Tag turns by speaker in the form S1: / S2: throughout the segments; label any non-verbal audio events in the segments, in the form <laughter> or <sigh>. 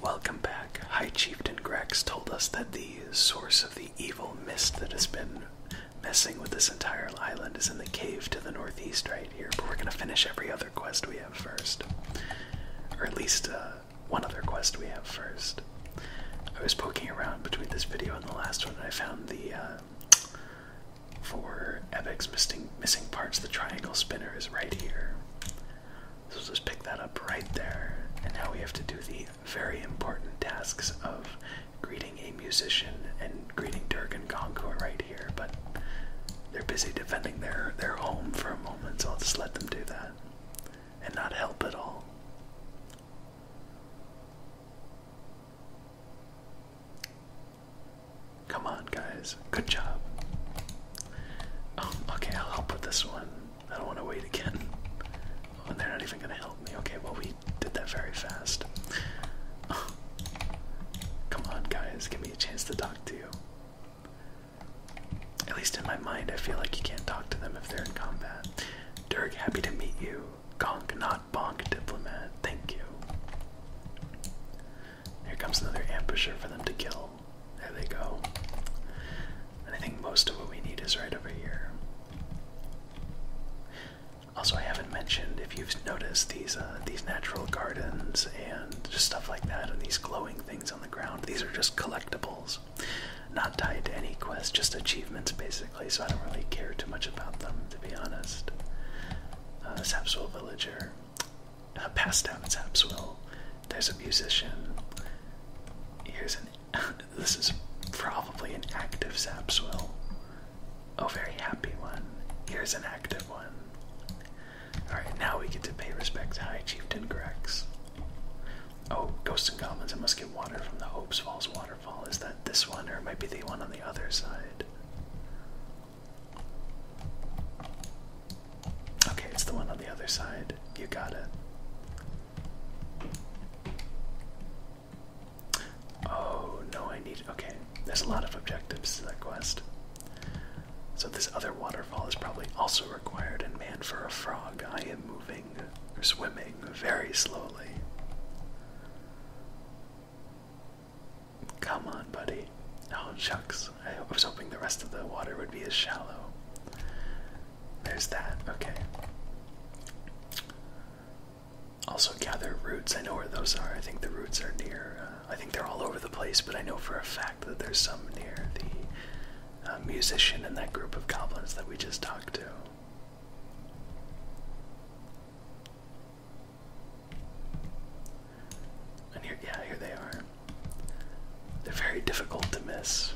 S1: Welcome back. High Chieftain Grex told us that the source of the evil mist that has been messing with this entire island is in the cave to the northeast right here, but we're going to finish every other quest we have first. Or at least uh, one other quest we have first. I was poking around between this video and the last one and I found the, uh, for Epic's missing parts, the triangle spinner is right here. So let's pick that up right there. And now we have to do the very important tasks of greeting a musician and greeting Dirk and Congo right here, but they're busy defending their, their home for a moment, so I'll just let them do that. And not help at all. Come on, guys. Good job. Um, okay, I'll help with this one. I don't want to wait again. and <laughs> they're not even gonna help me. Okay, well we did that very fast. <sighs> Come on, guys, give me a chance to talk to you. At least in my mind, I feel like you can't talk to them if they're in combat. Dirk, happy to meet you. Gonk, not bonk, diplomat. Thank you. Here comes another ambusher for them to kill. There they go. And I think most of what we need is right over here. Also, I haven't mentioned if you've noticed these uh, these natural gardens and just stuff like that, and these glowing things on the ground. These are just collectibles, not tied to any quest, just achievements basically. So I don't really care too much about them, to be honest. Uh, Sapswell villager uh, passed down as Abswell. There's a musician. Here's an. <laughs> this is probably an active Zapswell. Oh, very happy one. Here's an active one. Alright, now we get to pay respect to High Chieftain Grex. Oh, Ghosts and Goblins, I must get water from the Hopes Falls waterfall. Is that this one, or might be the one on the other side? Okay, it's the one on the other side. You got it. Oh, no, I need. Okay, there's a lot of objectives to that quest. So, this other waterfall is probably also required, and man, for a frog, I am moving swimming very slowly. Come on, buddy. Oh, chucks. I was hoping the rest of the water would be as shallow. There's that, okay. Also, gather roots. I know where those are. I think the roots are near, uh, I think they're all over the place, but I know for a fact that there's some near the uh, musician and that group of goblins that we just talked to. And here, yeah, here they are. They're very difficult to miss.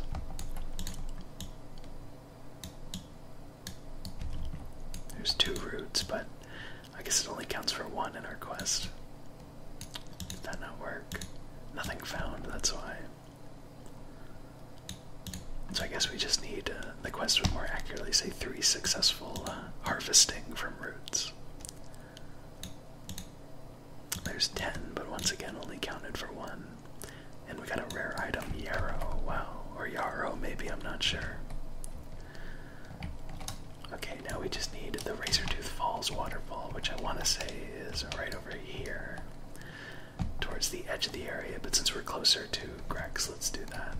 S1: There's two roots, but I guess it only counts for one in our quest. Did that not work?
S2: Nothing found, that's why. So I guess we just
S1: need, uh, the quest would more accurately say three successful uh, harvesting from roots. There's 10, but once again only counted for
S2: one. And we got a rare item, Yarrow, wow. Or Yarrow, maybe, I'm not sure.
S1: Okay, now we just need the Razortooth Falls waterfall, which I want to say is right over here, towards the edge of the area. But since we're closer to Grex, let's do that.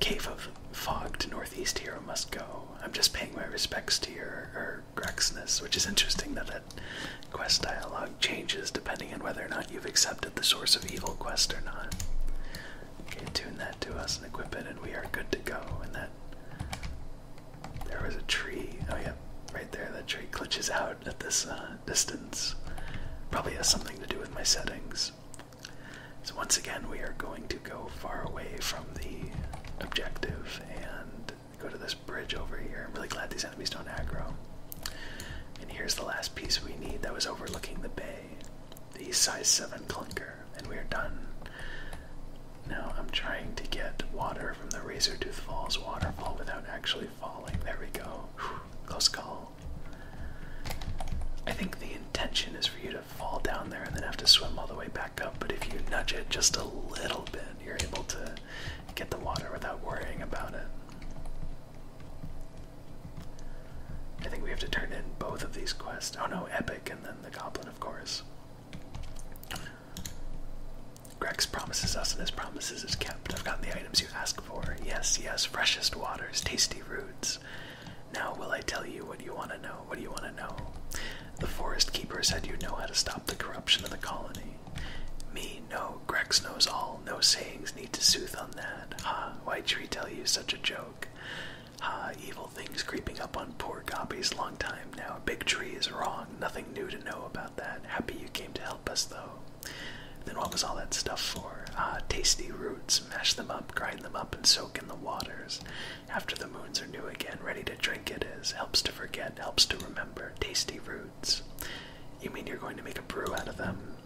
S1: Cave of Fog to Northeast Hero must go. I'm just paying my respects to your or Grexness, which is interesting that that quest dialogue changes depending on whether or not you've accepted the source of evil quest or not. Okay, tune that to us and equip it and we are good to go. And that there was a tree. Oh yeah, right there that tree glitches out at this uh, distance. Probably has something to do with my settings. So, once again, we are going to go far away from the objective and go to this bridge over here. i really glad these enemies don't aggro. And here's the last piece we need that was overlooking the bay the size 7 clunker, and we are done. Now, I'm trying to get water from the Razor Tooth Falls waterfall without actually falling. There we go. close call. I think the intention is for you to fall down there and then have to swim all the way back up, but if you nudge it just a little bit, you're able to get the water without worrying about it. I think we have to turn in both of these quests. Oh no, Epic and then the Goblin, of course. Greg's promises us, and his promises is kept. I've gotten the items you asked. Yes, yes, freshest waters, tasty roots. Now will I tell you what you want to know? What do you want to know? The forest keeper said you know how to stop the corruption of the colony. Me, no, Grex knows all. No sayings need to soothe on that. Ha, why tree tell you such a joke? Ha, evil things creeping up on poor Gobby's long time now. Big tree is wrong. Nothing new to know about that. Happy you came to help us, though. Then what was all that stuff for? Ah, tasty roots. Mash them up, grind them up, and soak in the waters. After the moons are new again, ready to drink it is. Helps to forget, helps to remember. Tasty roots. You mean you're going to make a brew out of them?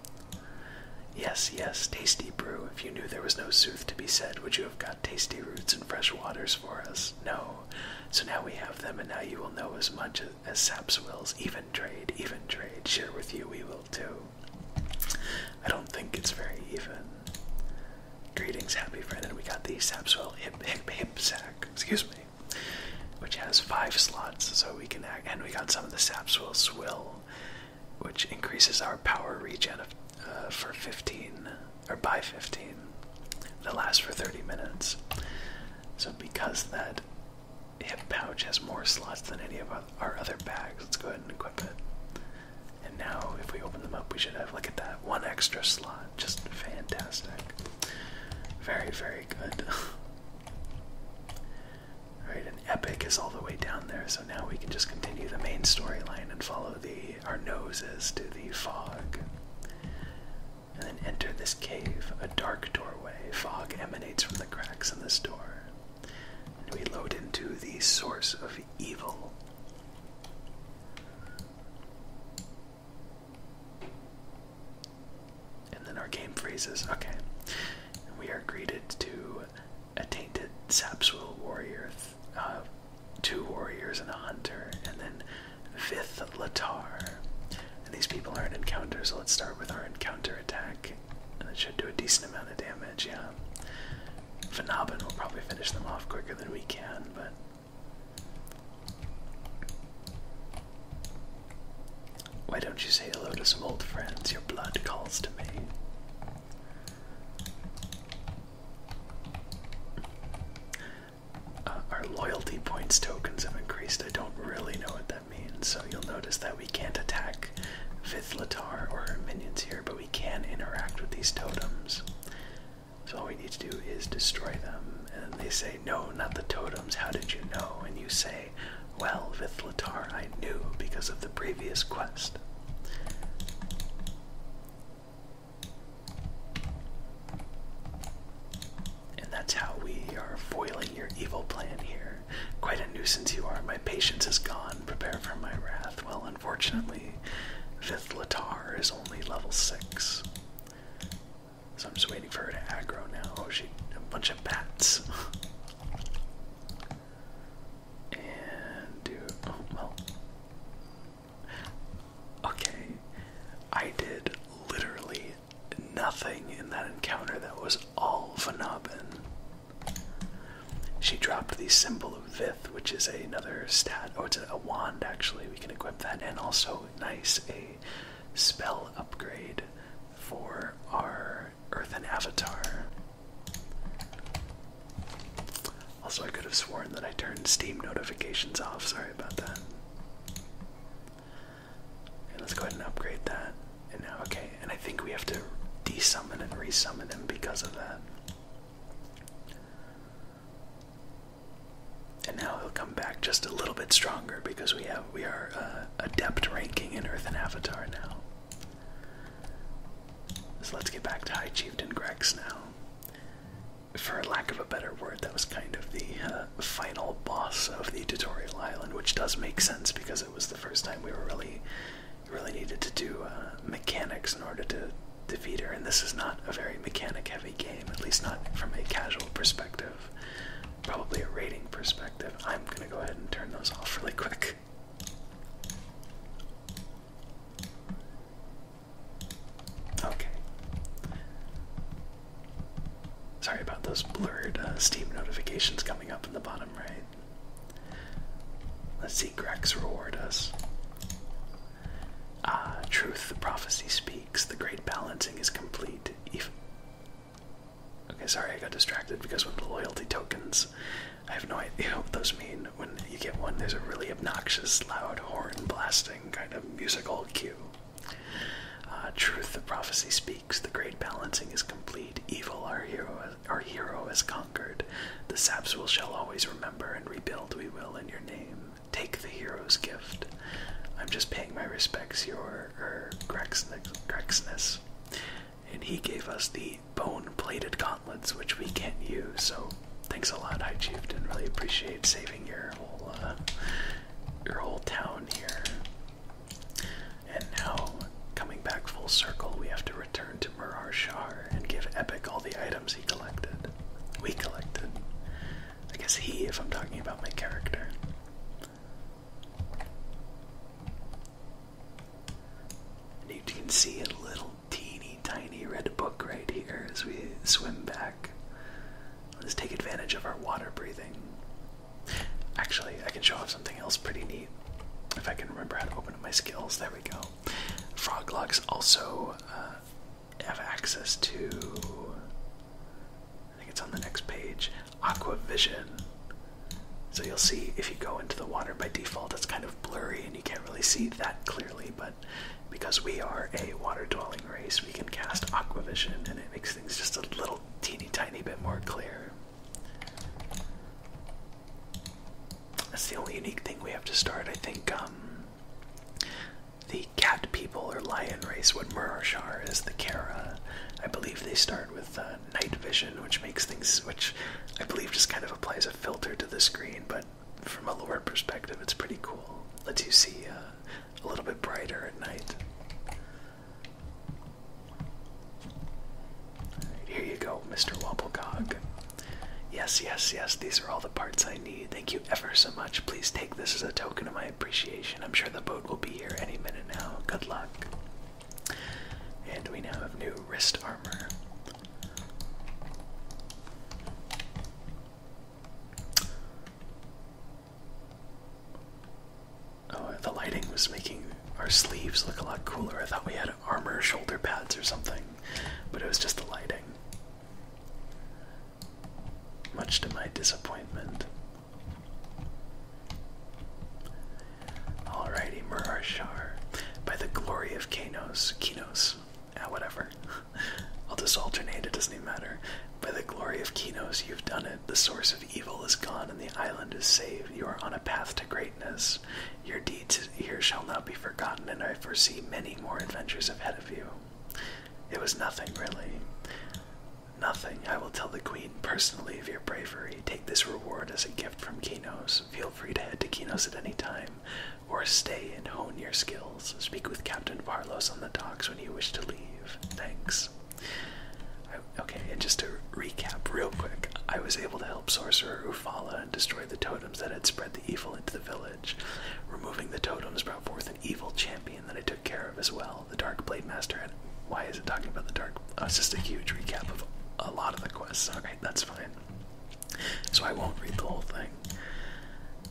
S1: Yes, yes, tasty brew. If you knew there was no sooth to be said, would you have got tasty roots and fresh waters for us? No. So now we have them, and now you will know as much as as Saps wills. Even trade, even trade. Share with you, we will too. I don't think it's very even. Greetings, happy friend, and we got the Sapswell hip hip hip sack, excuse me, which has five slots, so we can act. And we got some of the Sapswell swill, which increases our power regen uh, for 15 or by 15. That lasts for 30 minutes.
S2: So because that hip pouch has more slots than any of our other bags. Let's go ahead and equip it. And now, if we open them up, we should have, look at that,
S1: one extra slot. Just fantastic. Very, very good. <laughs>
S2: Alright, and Epic is all the way down there, so now we can just continue
S1: the main storyline and follow the our noses to the fog. And then enter this cave,
S2: a dark doorway fog emanates from the cracks in this door. And we load into the source of evil. And then our game freezes. Okay. we are greeted to a tainted Sapswell warrior, uh, two warriors and a hunter, and then Vith Latar, and these people are an encounter, so let's start with our encounter
S1: attack. And it should do a decent amount of damage, yeah. Phenobin will probably finish them off quicker than we can, but. Why don't you say hello to some old friends? Your blood calls to me. Uh, our loyalty points tokens have increased. I don't really know what that so you'll notice that we can't attack Vithletar or her minions here, but we can interact with these totems. So all we need to do is destroy them. And they say, no, not the totems, how did you know? And you say, well, Vithletar, I knew because of the previous quest
S2: and that's how we are foiling your evil plan here. Quite a nuisance you are. My patience is gone. Prepare
S1: for my wrath. Well, unfortunately, Fifth Latar is only level 6. So I'm just waiting for her to aggro now. Oh, she. a bunch of bats. and do. Oh, well. Okay. I did literally nothing in that encounter that was all Vanabin. She dropped the Symbol of Vith, which is another stat. Oh, it's a, a wand, actually. We can equip that. And also, nice, a spell upgrade for our Earthen Avatar. Also, I could have sworn that I turned Steam notifications off. Sorry about that. And let's go ahead and upgrade that. And now, okay, and I think we have to desummon and resummon him because of that. And now he'll come back just a little bit stronger because we have we are uh, adept ranking in Earth and Avatar now. So let's get back to High Chieftain Grex now. For lack of a better word, that was kind of the uh, final boss of the tutorial island, which does make sense because it was the first time we were really, really needed to do uh, mechanics in order to defeat her. And this is not a very mechanic-heavy game, at least not from a casual perspective. Probably a rating perspective. I'm gonna go ahead and turn those off really quick. Okay. Sorry about those blurred uh, Steam notifications coming up in the bottom right. Let's see Grex reward us. Ah, truth, the prophecy speaks, the great balancing
S2: is complete. Okay, sorry, I got distracted because of the loyalty
S1: tokens, I have no idea what those mean. When you get one, there's a really obnoxious, loud horn blasting kind of musical cue. Uh, truth, the prophecy speaks the great balancing is complete. Evil, our hero, our hero has conquered. The saps will shall always remember and rebuild. We will in your name. Take the hero's gift. I'm just paying my respects, your er, Grexness. And he gave us the bone-plated gauntlets, which we can't use. So, thanks a lot, High Chieftain. Really appreciate saving your whole, uh, your whole town here. And now, coming back full circle, we have to return to Murar Shar and give Epic all the items he collected. We collected. I guess he, if I'm talking about my character. And you can see a little teeny tiny red book right here as we swim back. Let's take advantage of our water breathing. Actually, I can show off something else pretty neat if I can remember how to open up my skills. There we go. Froglocks also uh, have access to. I think it's on the next page. aquavision So you'll see if you go into the water by default, it's kind of blurry and you can't really see that clearly. But because we are a water dwelling race, we can cast aquavision, and it makes makes things just a little teeny tiny bit more clear.
S2: That's the only unique thing we have to start. I think um, the cat people or lion race, what Murashar is, the
S1: Kara, I believe they start with uh, night vision, which makes things, which I believe just kind of applies a filter to the screen, but from a lore perspective, it's pretty cool. Lets you see uh, a little bit brighter at night. Here you go, Mr. Wobblegog. Yes, yes, yes, these are all the parts I need. Thank you ever so much. Please take this as a token of my appreciation. I'm sure the boat will be here any minute now. Good luck. And we now have new wrist armor. Oh, the lighting was making our sleeves look a lot cooler. I thought we had armor shoulder pads or something, but it was just the lighting. Much to my disappointment. Alrighty, Murarshar. By the glory of Kanos, Kinos, ah, whatever. <laughs> I'll just alternate, it doesn't even matter. By the glory of Kinos, you've done it. The source evil is gone and the island is saved. You are on a path to greatness. Your deeds here shall not be forgotten, and I foresee many more adventures ahead of you. It was nothing, really. Nothing. I will tell the queen personally of your bravery. Take this reward as a gift from Kinos. Feel free to head to Kinos at any time, or stay and hone your skills. Speak with Captain Parlos on the docks when you wish to leave. Thanks okay, and just to recap real quick, I was able to help Sorcerer Ufala and destroy the totems that had spread the evil into the village. Removing the totems brought forth an evil champion that I took care of as well. The Dark Blade Master And Why is it talking about the Dark? Oh, it's just a huge recap of a lot of the quests. Alright, that's fine. So I won't read the whole thing.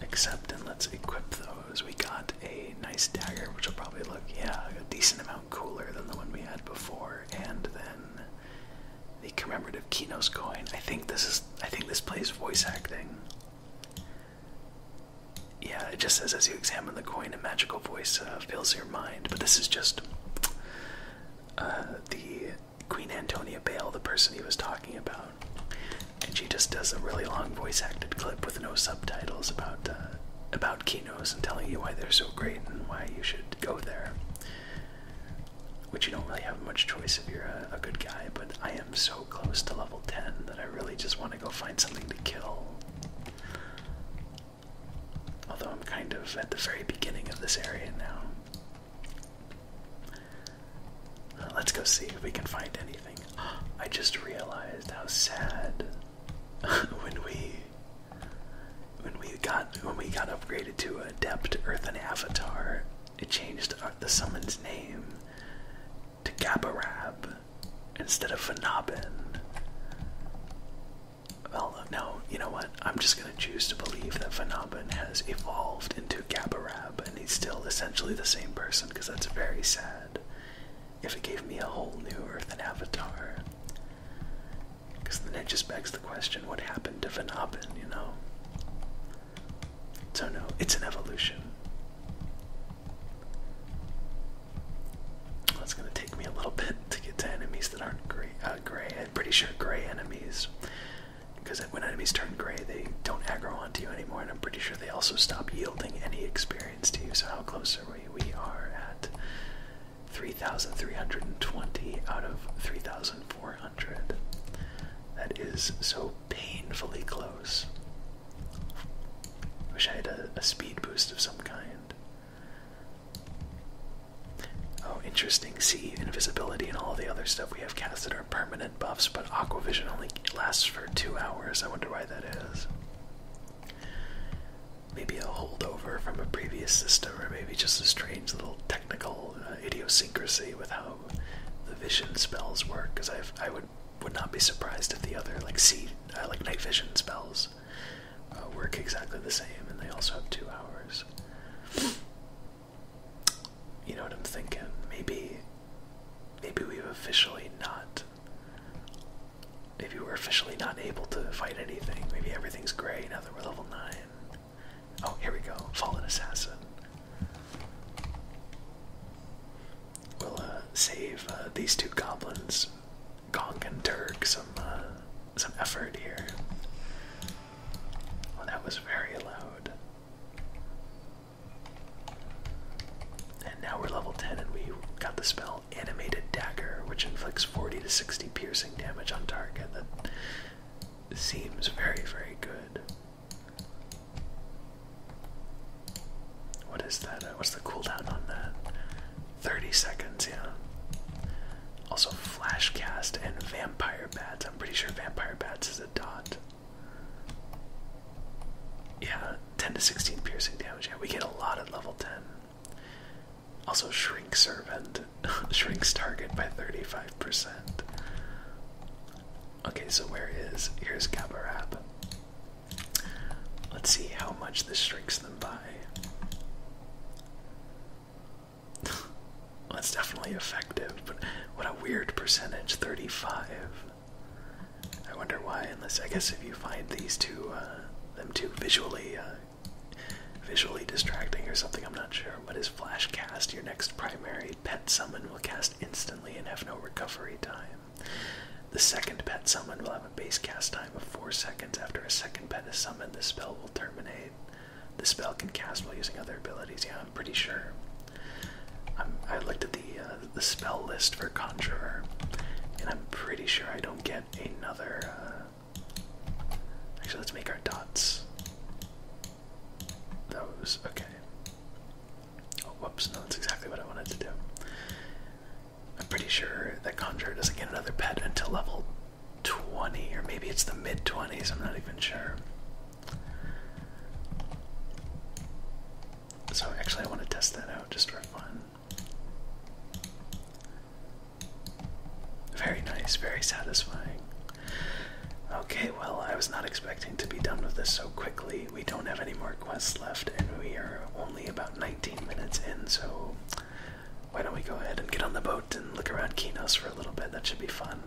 S1: Except, and let's equip those. We got a nice dagger, which will probably look, yeah, a decent amount cooler than the one we had before,
S2: and then the commemorative Kinos coin. I think this is I think this plays
S1: voice acting. Yeah, it just says as you examine the coin, a magical voice uh, fills your mind. But this is just uh, the Queen Antonia Bale, the person he was talking about, and she just does a really long voice acted clip with no subtitles about uh, about about and telling you why they're so great and why you should go there. Which you don't really have much choice if you're a, good guy, but I am so close to level 10 that I really just want to go find something to kill. Although I'm kind of at the very beginning of this area now. let's go see if we can find anything. <gasps> I just realized how sad <laughs> when we when we got when we got upgraded to adept earthen avatar, it changed uh, the summon's name to Gabarab instead of Phenobin. Well, no, you know what? I'm just gonna choose to believe that Phenobin has evolved into Gabarab, and he's still essentially the same person because that's very sad if it gave me a whole new Earth and Avatar. Because then it just begs the question what happened to Vanabin, you know? So, no, it's an evolution. That's gonna take me a little bit
S2: to get to enemies that aren't gray. Uh, gray. I'm pretty sure gray enemies, because when enemies turn
S1: gray, they don't aggro onto you anymore, and I'm pretty sure they also stop yielding any experience to you. So how close are we? we are at 3,320 out of 3,400. That is so painfully close. Wish I had a, a speed boost of some kind. Oh, interesting. See, invisibility and all the other stuff we have casted are permanent buffs, but Aquavision only lasts for two hours. I wonder why that is. Maybe a holdover from a previous system, or maybe just a strange little technical uh, idiosyncrasy with how the vision spells work. Because I would would not be surprised if the other like see uh, like night vision spells uh, work exactly the same, and they also have two hours. You know what I'm thinking? Maybe, maybe we've officially not Maybe we're officially not able to fight anything, maybe everything's gray now that we're level 9. Oh, here we go. Fallen Assassin. We'll uh, save uh, these two goblins, Gong and Turk, some, uh, some effort here. Well, oh, that was very loud. And now we're level 10 and we got the spell Animated Dagger, which inflicts 40 to 60 piercing damage on target. That seems very, very good. What is that? Uh, what's the cooldown on that? 30 seconds, yeah. Also, Flash Cast and Vampire Bats. I'm pretty sure Vampire Bats is a dot. Yeah, 10 to 16 piercing damage. Yeah, we get a lot at level 10. Also, shrink servant <laughs> shrinks target by 35%. Okay, so where is here's Gabarab? Let's see how much this shrinks them by. That's <laughs> definitely effective, but what a weird percentage 35. I wonder why, unless I guess if you find these two, uh, them too visually, uh, visually distracting or something, I'm not sure. What is flash cast? Your next primary pet summon will cast instantly and have no recovery time. The second pet summon will have a base cast time of four seconds. After a second pet is summoned, the spell will terminate. The spell can cast while using other abilities. Yeah, I'm pretty sure. i looked at the uh, the spell list for Conjurer, and I'm pretty sure I don't get another. Uh, actually, let's make our dots. Those, okay. Oh, whoops, no, that's exactly what I wanted to do. I'm pretty sure that Conjurer doesn't get another pet until level 20, or maybe it's the mid 20s, I'm not even sure. So, actually, I want to test that out just for fun.
S2: Very nice, very satisfying. Okay, well, I was not expecting to be
S1: done with this so quickly. We don't have any more quests left, and we are only about 19 minutes in, so why don't we go ahead and get on the boat and look around Kinos for a little bit? That should be fun.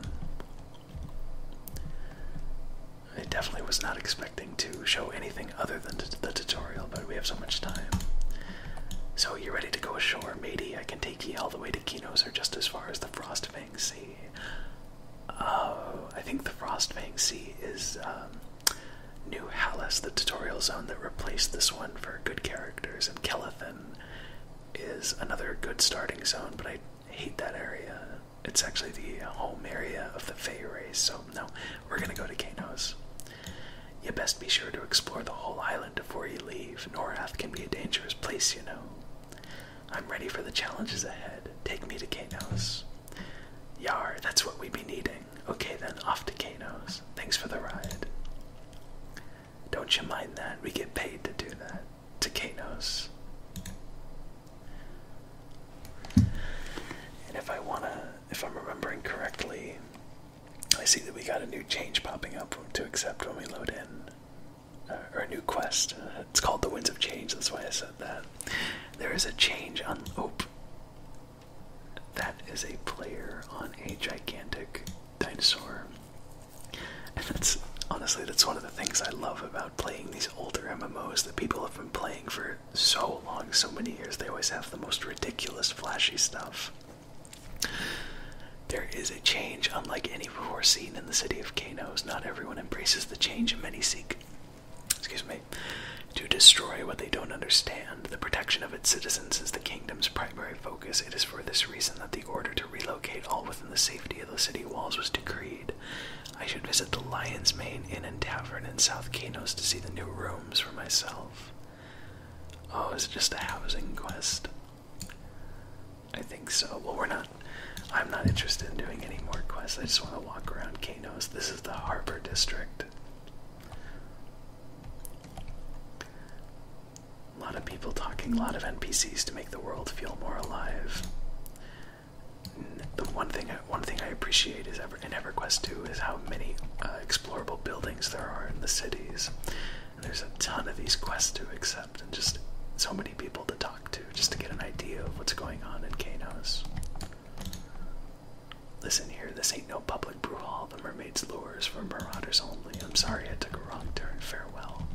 S1: I definitely was not expecting to show anything other than the tutorial, but we have so much time. So you're ready to go ashore, matey. I can take ye all the way to Kinos or just as far as the Frostfang Sea. Oh, I think the Frostfang Sea is um, New Hallis, the tutorial zone that replaced this one for good characters, and Kellathan is another good starting zone, but I hate that area. It's actually the home area of the Fey race, so no, we're gonna go to Kano's. You best be sure to explore the whole island before you leave. Norath can be a dangerous place, you know. I'm ready for the challenges ahead. Take me to Kano's. Yar, that's what we would be needing. Okay then, off to Kano's. Thanks for the ride. Don't you mind that? We get paid to do that. To Kano's. And if I wanna if I'm remembering correctly, I see that we got a new change popping up to accept when we load in, uh, or a new quest. it's called the Winds of Change. That's why I said that. There is a change on. Oh, that is a player on a gigantic dinosaur, and that's honestly that's one of the things I love
S2: about playing these older MMOs that people have been playing for so long, so many years, they
S1: always have the most ridiculous, flashy stuff. There is a change unlike any before seen in the city of Kanos. Not everyone embraces the change, and many seek, excuse me, to destroy what they don't understand. The protection of its citizens is the kingdom's primary focus. It is for this reason that the order to relocate all within the safety of the city walls was decreed. I should visit the Lion's Mane Inn and Tavern in South Kanos to see the new room for myself. Oh, is it just a housing quest? I think so. Well, we're not. I'm not interested in doing any more quests. I just want to walk around Kanos. This is the harbor district. A lot of people talking, a lot of NPCs to make the world feel more alive the one thing I, one thing I appreciate is ever in EverQuest 2 is how many uh, explorable buildings there are in the cities. there's a ton of these quests to accept, and just so many people to talk to, just to get an idea of what's going on in Canos. Listen here, this ain't no public brew hall. The mermaid's lures for marauders only. I'm sorry I took a wrong turn. Farewell.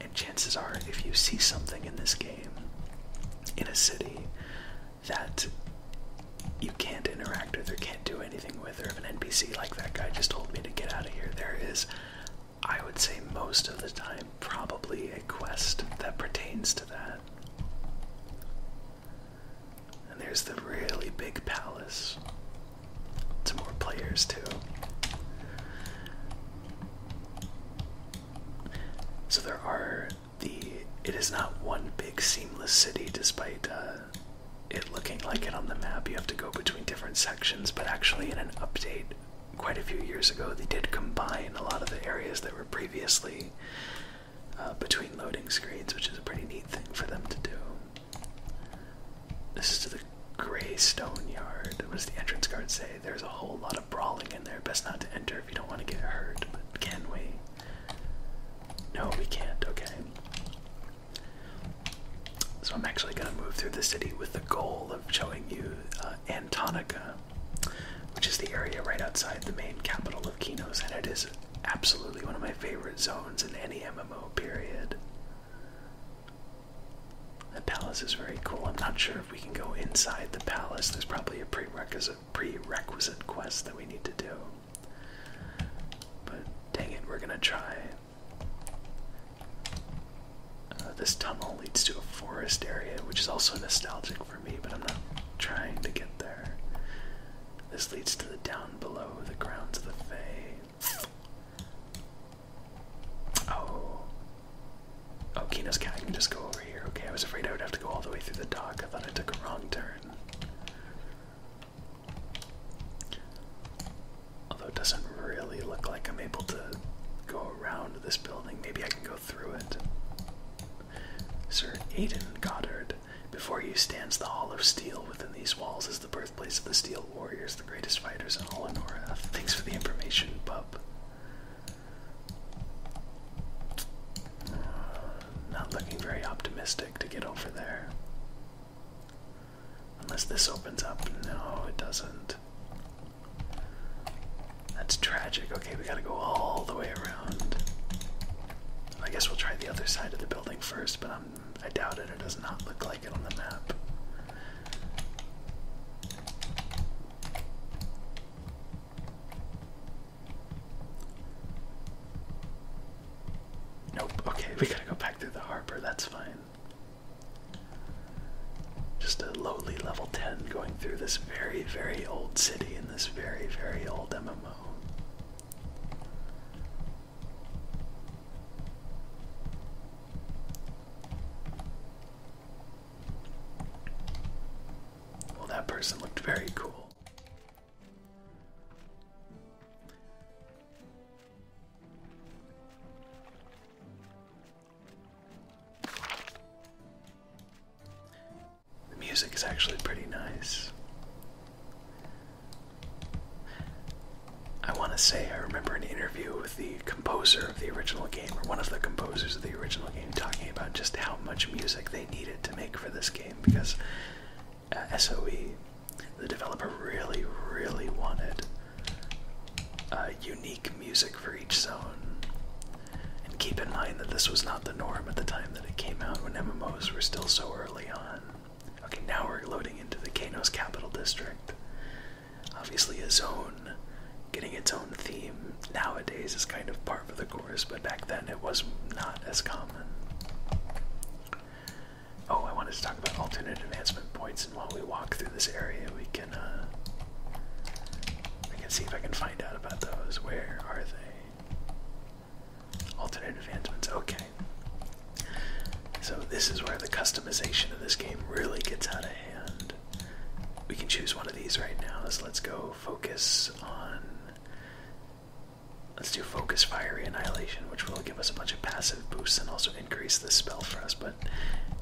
S1: And chances are, if you see something in this game, in a city, that you can't interact with or can't do anything with, or if an NPC like that guy just told me to get out of here, there is, I would say, most of the time, probably a quest that pertains to that. And there's the really big palace. Some more players, too. So there are the it is not one big seamless city despite uh, it looking like it on the map. You have to go between different sections, but actually in an update quite a few years ago, they did combine a lot of the areas that were previously uh, between loading screens, which is a pretty neat thing for them to do. This is the Gray Stone Yard. What does the entrance guard say? There's a whole lot of brawling in there. Best not to enter if you don't want to get hurt, but can we? No, we can't, okay. So I'm actually going to move through the city with the goal of showing you uh, Antonica, which is the area right outside the main capital of Kinos, and it is absolutely one of my favorite zones in any MMO period. The palace is very cool. I'm not sure if we can go inside the palace. There's probably a prerequisite was a prerequisite quest that we need to do. But dang it, we're gonna try. Uh, this tunnel leads to a forest area, which is also nostalgic for me, but I'm not trying to get there. This leads to the down below, the grounds of the Fae. Oh. Oh, Kino's cat can just go Okay, I was afraid I would have to go all the way through the dock. I thought I took a wrong turn. Although it doesn't really look like I'm able to go around this building. Maybe I can go through it. Sir Aiden Goddard. Before you stands the Hall of Steel. Within these walls is the birthplace of the Steel Warriors, the greatest fighters in all Honora. Thanks for the information, bub. Not looking very optimistic to get over there. Unless this opens up. No, it doesn't. That's tragic. Okay, we gotta go all the way around. I guess we'll try the other side of the building first, but I'm, I doubt it. It does not look like it on the map. Nope. Okay, we gotta go back through the harbor. That's fine. Just a lowly level 10 going through this very, very old city in this very, very old MMO. Well, that person looked very cool. The music is actually pretty nice. I want to say I remember an interview with the composer of the original game, or one of the composers of the original game, talking about just how much music they needed to make for this game because uh, SOE, the developer, really, really wanted uh, unique music for each zone. And keep in mind that this was not the norm at the time that it came out when MMOs were still so early on. Okay, now we're loading into the Kano's Capital District. Obviously, a zone getting its own theme nowadays is kind of part of the course, but back then it was not as common. Oh, I wanted to talk about alternate advancement points, and while we walk through this area, we can we uh, can see if I can find out about those. Where are they? Alternate advancements. Okay. So this is where the customization of this game really gets out of hand. We can choose one of these right now. So let's go focus on Let's do Focus, Fiery Annihilation, which will give us a bunch of passive boosts and also increase the spell for us. But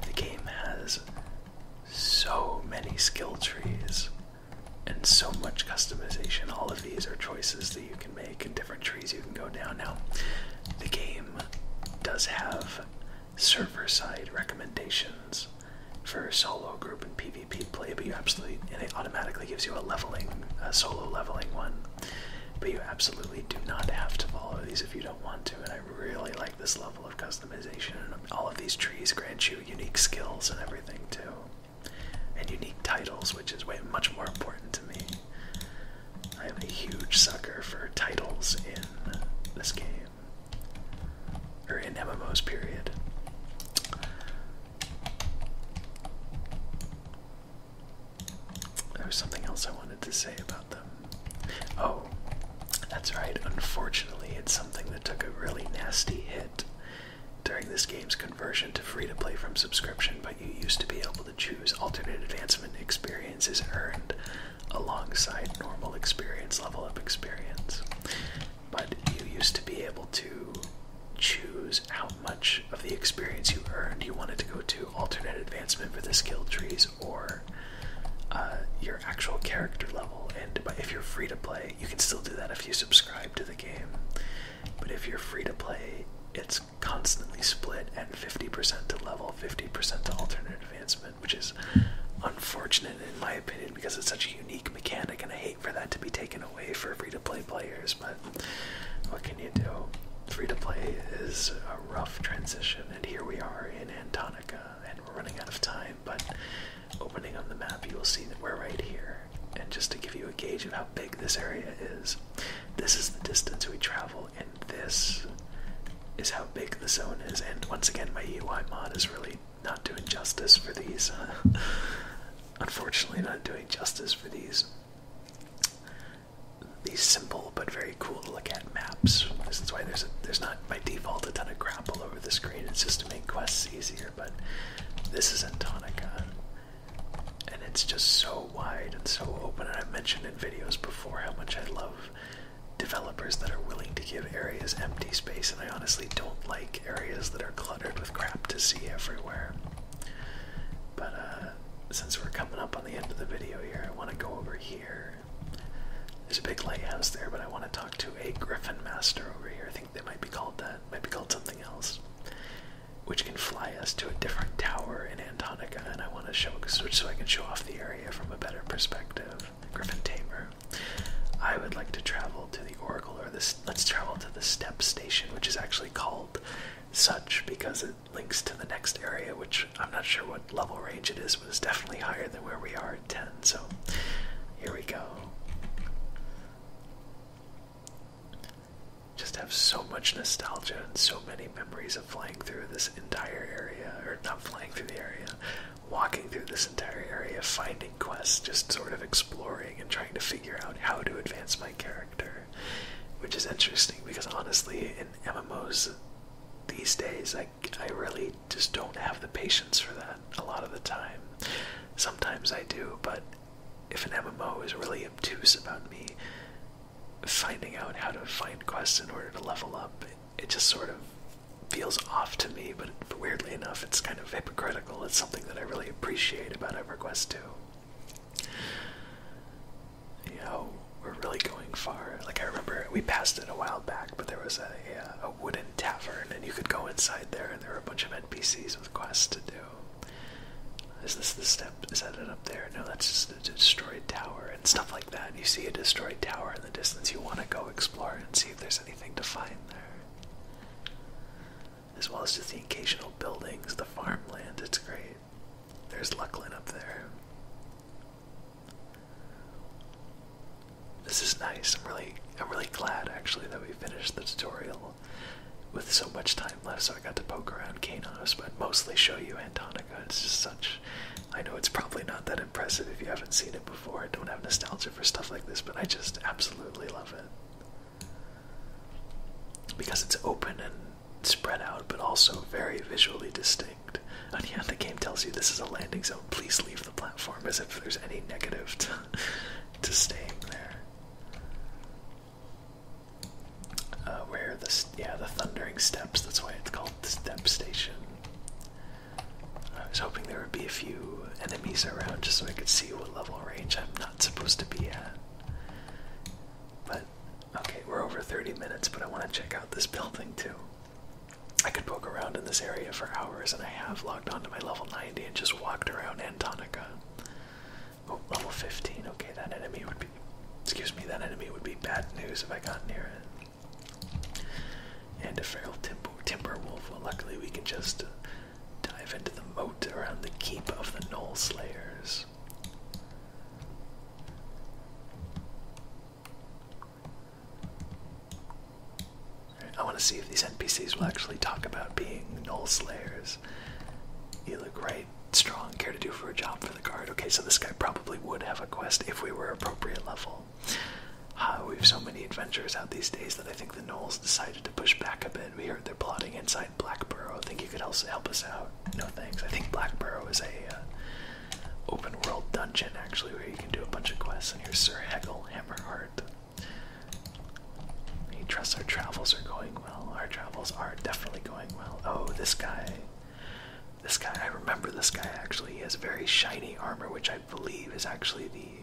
S1: the game has so many skill trees and so much customization. All of these are choices that you can make and different trees you can go down. Now, the game does have server side recommendations skills for solo, group, and PvP play, but you absolutely and it automatically gives you a leveling, a solo leveling one. But you absolutely do not have to follow these if you don't want to. And I really like this level of customization. All of these trees grant you unique skills and everything too, and unique titles, which is way much more important to me. I am a huge sucker for titles in this game or in MMOs period. There was something else I wanted to say about them. Oh, that's right. Unfortunately, it's something that took a really nasty hit during this game's conversion to free to play from subscription, but you used to be able to choose alternate advancement experiences earned alongside normal experience, level
S2: up experience but you used to be able to choose
S1: how much of the experience you earned you wanted to go to alternate advancement for the skill trees or uh, your actual character level. And if you're free to play,
S2: you can still do that if you subscribe to the game. But if you're free to play, it's
S1: constantly split at 50% to level, 50% to alternate advancement, which is unfortunate in my opinion because it's such a unique mechanic, and I hate for that to be taken away for free to play players, but what can you do? Free to play is a rough transition, and here we are in Antarctica, and we're running out of time, but opening on the map, you will see that we're right here. And just to give you a gauge of how big this area is, this is the distance we travel, and this is how big the zone is. And once again, my UI mod is really not doing justice for these. Uh, <laughs> unfortunately, not doing justice for these. These simple but very cool to look at maps. This is why there's a, there's not by default a ton of grapple over the screen. It's just to make quests easier. But this is Antonica, and it's just so wide and so open. And I've mentioned in videos before how much I love developers that are willing to give areas empty space and I honestly don't like areas that are cluttered with crap to see everywhere. But uh, since we're coming up on the end of the video here, I want to go over here. There's a big lighthouse there, but I want to talk to a griffin master over here. I think they might be called that, might be called something else, which can fly us to a different tower in Antonica, and I want to show so I can show off the area from a better perspective. Griffin tamer. I would like to travel to the Oracle or this let's travel to the step station, which is actually called such because it links to the next area, which I'm not sure what level range it is, but it's definitely higher than where we are at 10. So here we go. Just have so much nostalgia and so many memories of flying through this entire area, or not flying through the area, walking through this entire area, finding quests, just sort of exploring and trying to figure out how to advance my character. Which is interesting because honestly, in MMOs these days, I, I really just don't have the patience for that a lot of the time. Sometimes I do, but if an MMO is really obtuse about me finding out how to find quests in order to level up, it, it just sort of feels off to me, but weirdly enough, it's kind of hypocritical. It's something that I really appreciate about EverQuest 2. You know, we're really going far. Like, I remember we passed it a while back, but there was a, a, uh, a wooden tavern, and you could go inside there, and there were a bunch of NPCs with quests to do. Is this the step? Is that it up there? No, that's just a destroyed tower and stuff like that. You see a destroyed tower in the distance, you want to go explore and see if there's anything to find there. As well as just the occasional buildings, the farmland, it's great. There's Luckland up there. This is nice. I'm really I'm really glad actually that we finished the tutorial with so much time left so I got to poke around Kanos, but mostly show you Antonica. It's just such I know it's probably not that impressive if you haven't seen it before and don't have nostalgia for stuff like this, but I just absolutely love it. Because it's open and spread out, but also very visually distinct. And yeah, the game tells you this is a landing zone. Please leave the platform as if there's any negative to, <laughs> staying there. Uh, where the yeah the thundering steps. That's why it's called the step station. I was hoping there would be a few enemies around just so I could see what level range I'm not supposed to be at. But, okay, we're over 30 minutes, but I want to check out this building too. I could poke around in this area for hours, and I have logged onto my level 90 and just walked around Antonica. Oh, level 15. Okay, that enemy would be. Excuse me, that enemy would be bad news if I got near it and a feral timber, wolf. Well, luckily we can just dive into the moat around the keep of the Knoll Slayers.
S2: I want to see if these NPCs will actually talk about being Knoll Slayers. You look great, strong, care to do for a job for
S1: the guard. Okay, so this guy probably would have a quest if we were appropriate level. Ah, we have so many adventures out these days that I think the Knolls decided to push back a bit. We heard they're plotting inside Blackborough. Think you could also help us out? No thanks. I think Blackburrow is a uh, open world dungeon actually, where you can do a bunch of quests. And here's Sir Hegel Hammerheart. He trusts our travels are going well. Our travels are definitely going well. Oh, this guy. This guy, I remember this guy actually. He has very shiny armor, which I believe is actually the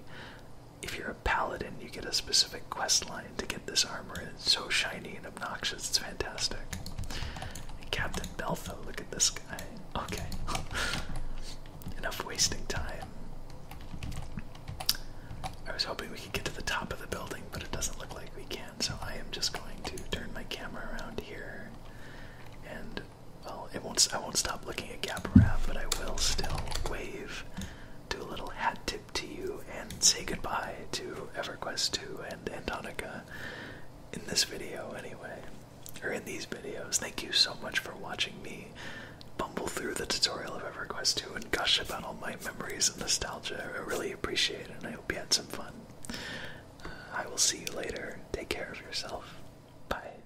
S1: if you're a paladin, you get a specific quest line to get this armor, and it's so shiny and obnoxious, it's fantastic. Captain Beltha, look at this
S2: guy. Okay. <laughs> Enough wasting time. I was hoping we could get to the top of the building, but it doesn't look like we can, so I am just going to turn my
S1: camera around here and well, it won't. I won't stop looking at Gaparab, but I will still wave, do a little hat tip to you, and say goodbye to EverQuest 2 and Antonica in this video, anyway, or in these videos. Thank you so much for watching me bumble through the tutorial of EverQuest 2 and gush about all my memories and nostalgia. I really appreciate it, and I hope you had some fun. Uh, I will see you later. Take care of yourself. Bye.